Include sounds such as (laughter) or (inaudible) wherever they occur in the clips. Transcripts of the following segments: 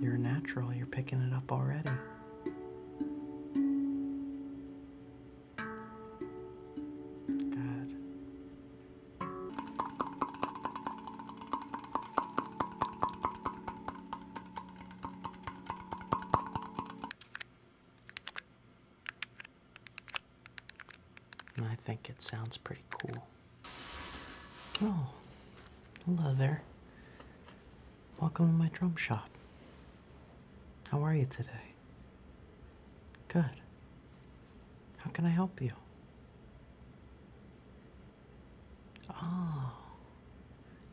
You're natural, you're picking it up already. Good. I think it sounds pretty cool. Oh, hello there. Welcome to my drum shop. How are you today? Good. How can I help you? Oh,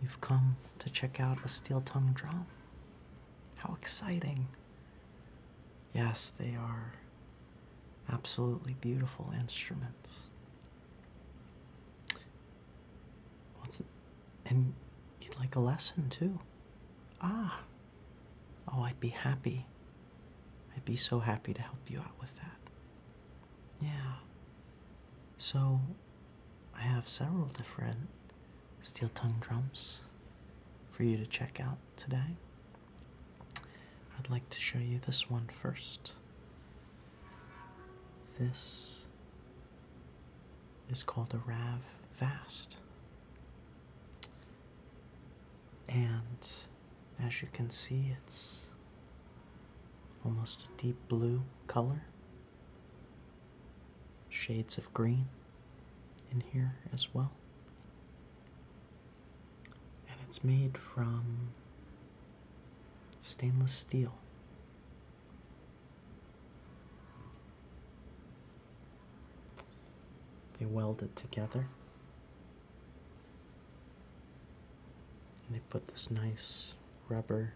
you've come to check out a steel tongue drum. How exciting! Yes, they are absolutely beautiful instruments. What's it? and you'd like a lesson too. Ah. Oh, I'd be happy. I'd be so happy to help you out with that. Yeah. So I have several different steel tongue drums for you to check out today. I'd like to show you this one first. This is called a Rav Vast. And as you can see, it's almost a deep blue color, shades of green in here as well. And it's made from stainless steel. They weld it together. they put this nice rubber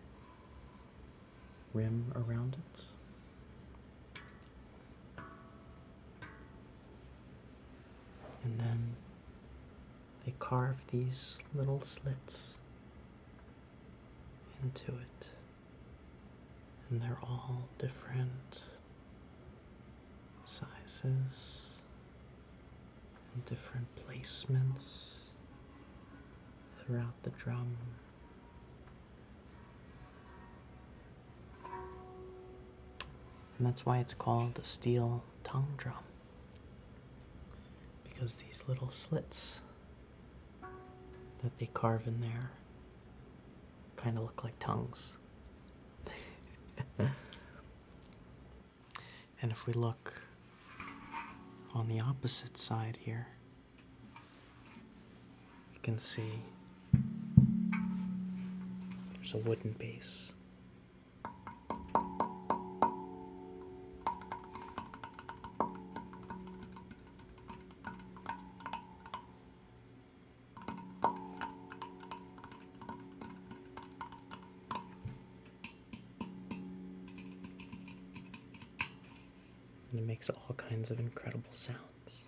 rim around it. And then they carve these little slits into it, and they're all different sizes and different placements throughout the drum. And that's why it's called the steel tongue drum because these little slits that they carve in there kind of look like tongues. (laughs) and if we look on the opposite side here, you can see there's a wooden base and it makes all kinds of incredible sounds.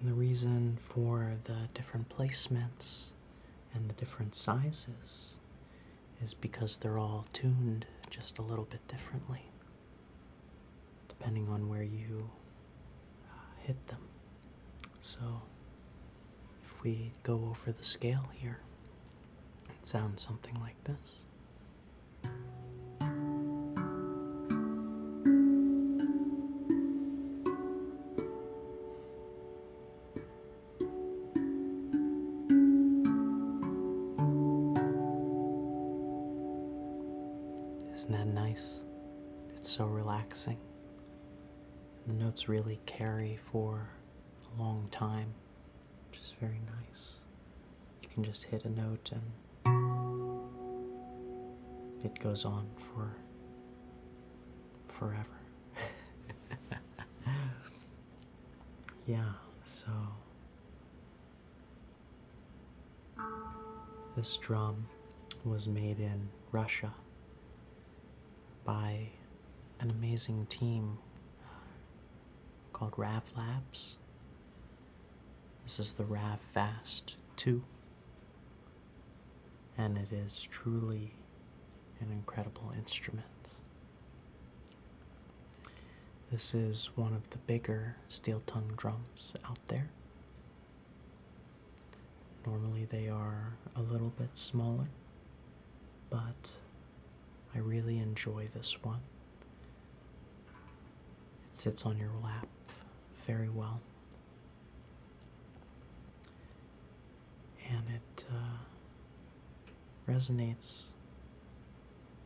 And the reason for the different placements and the different sizes is because they're all tuned just a little bit differently depending on where you uh, hit them. So if we go over the scale here, it sounds something like this. Isn't that nice? It's so relaxing. the notes really carry for a long time, Just very nice. You can just hit a note and it goes on for forever. (laughs) yeah, so this drum was made in Russia by an amazing team uh, called Rav Labs. This is the Rav Fast 2, and it is truly and incredible instruments. This is one of the bigger steel tongue drums out there. Normally they are a little bit smaller, but I really enjoy this one. It sits on your lap very well and it uh, resonates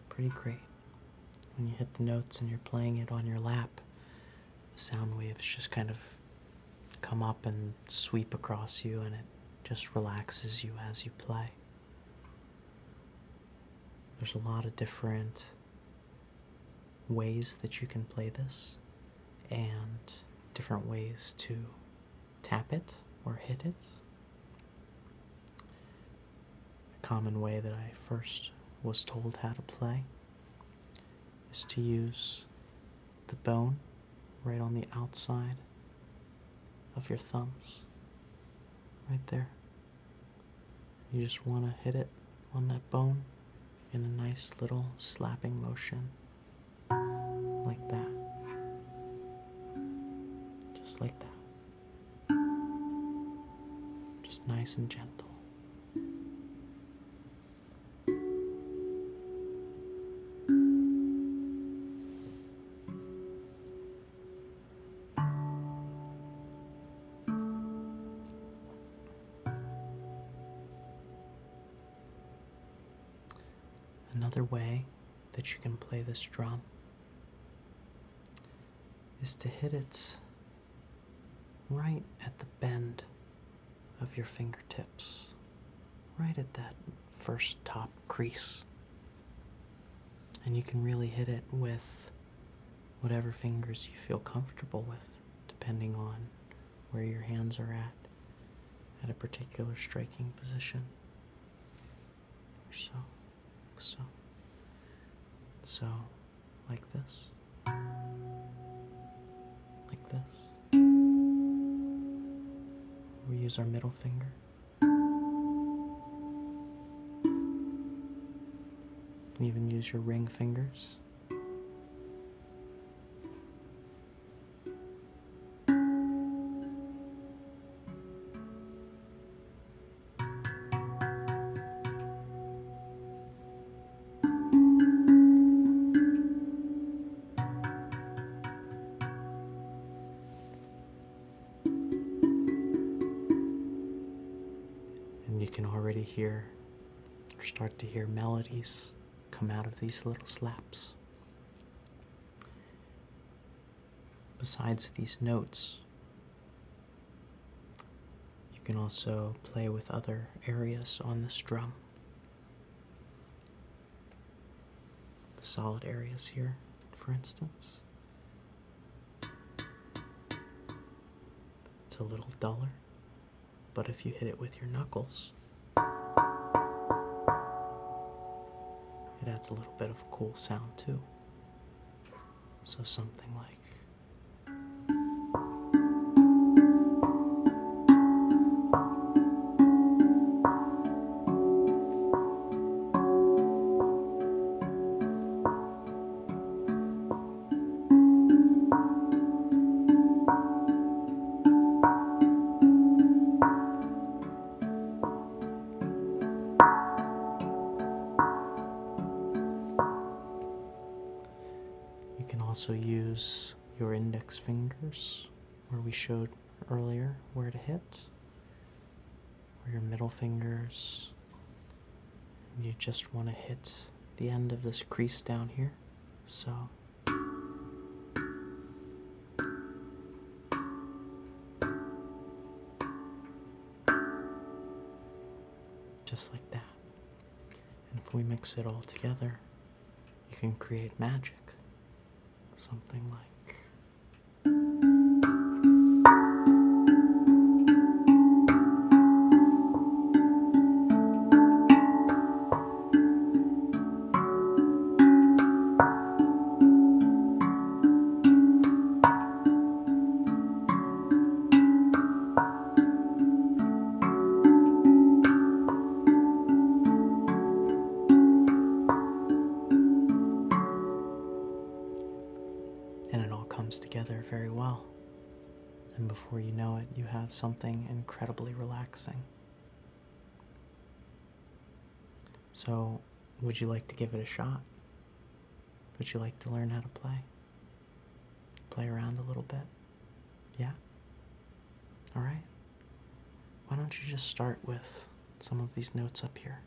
pretty great. When you hit the notes and you're playing it on your lap, the sound waves just kind of come up and sweep across you, and it just relaxes you as you play. There's a lot of different ways that you can play this and different ways to tap it or hit it. A common way that I first was told how to play is to use the bone right on the outside of your thumbs, right there. You just want to hit it on that bone in a nice little slapping motion. Like that. Just like that. Just nice and gentle. Another way that you can play this drum is to hit it right at the bend of your fingertips, right at that first top crease. And you can really hit it with whatever fingers you feel comfortable with, depending on where your hands are at at a particular striking position or so so so like this like this we use our middle finger you even use your ring fingers and you can already hear start to hear melodies come out of these little slaps. Besides these notes, you can also play with other areas on this drum. The solid areas here, for instance. It's a little duller but if you hit it with your knuckles, it adds a little bit of a cool sound too. So something like. You can also use your index fingers where we showed earlier where to hit, or your middle fingers. You just want to hit the end of this crease down here. So just like that. And if we mix it all together, you can create magic. Something like and it all comes together very well. And before you know it, you have something incredibly relaxing. So, would you like to give it a shot? Would you like to learn how to play? Play around a little bit? Yeah? Alright. Why don't you just start with some of these notes up here?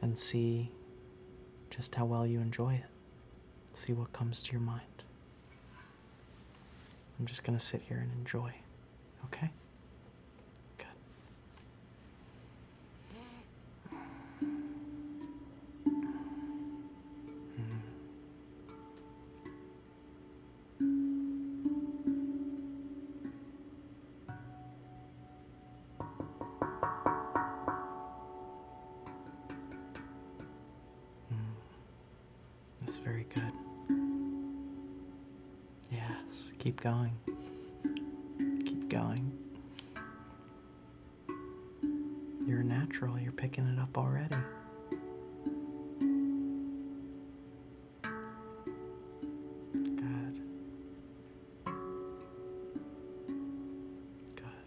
And see just how well you enjoy it. See what comes to your mind. I'm just going to sit here and enjoy. Okay? Good. Mm. That's very good. Yes, keep going. Keep going. You're natural, you're picking it up already. Good. Good.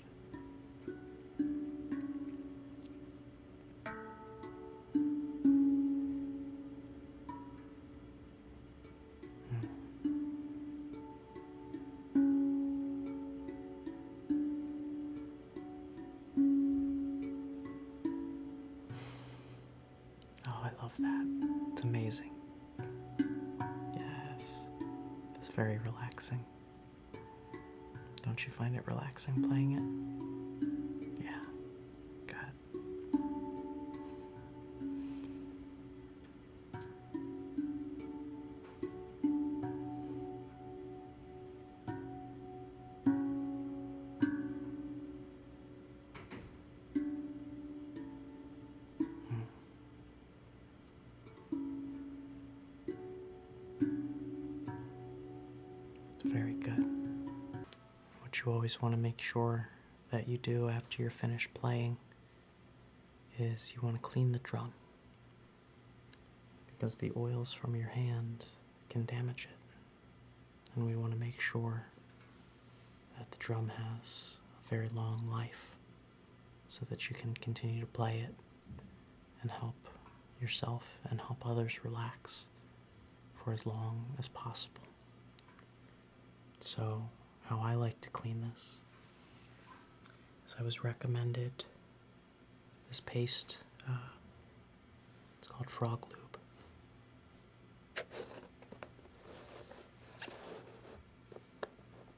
Oh, I love that. It's amazing. Yes, it's very relaxing. Don't you find it relaxing playing it? Yeah, good. Hmm. Very good. What you always want to make sure that you do after you're finished playing is you want to clean the drum because the oils from your hand can damage it and we want to make sure that the drum has a very long life so that you can continue to play it and help yourself and help others relax for as long as possible. So, how I like to clean this is I was recommended this paste. Uh, it's called Frog Lube.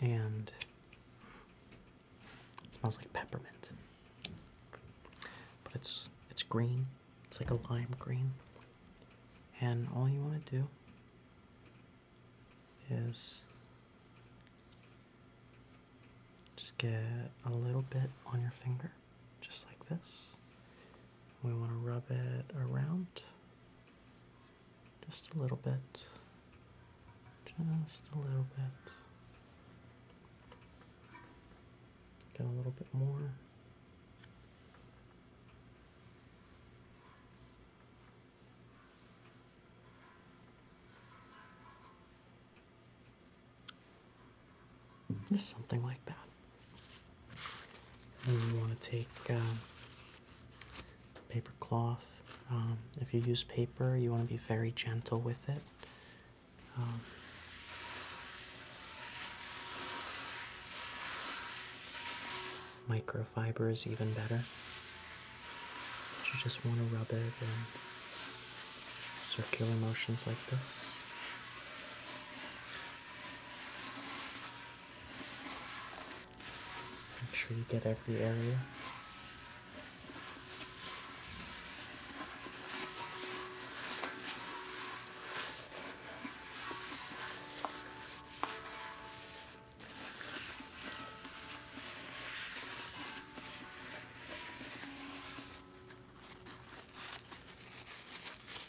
And it smells like peppermint. But it's it's green. It's like a lime green. And all you want to do is just get a little bit on your finger, just like this. We want to rub it around just a little bit. Just a little bit. Get a little bit more. Just something like that you want to take uh, paper cloth. Um, if you use paper, you want to be very gentle with it. Um, microfiber is even better. You just want to rub it in circular motions like this. Make sure you get every area.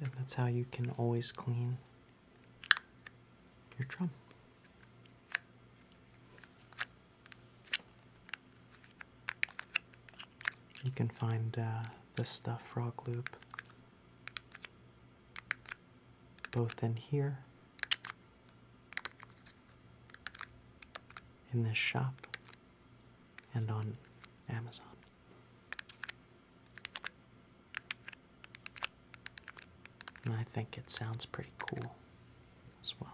And that's how you can always clean your drum. You can find uh, this stuff, Frog Loop, both in here, in this shop, and on Amazon. And I think it sounds pretty cool as well.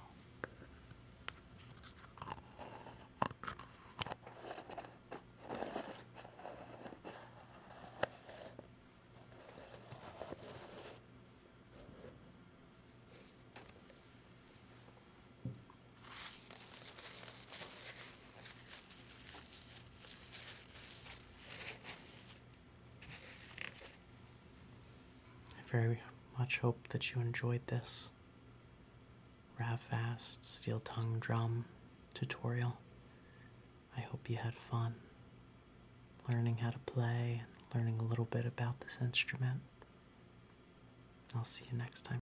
I very much hope that you enjoyed this Ravfast Steel Tongue Drum tutorial. I hope you had fun learning how to play and learning a little bit about this instrument. I'll see you next time.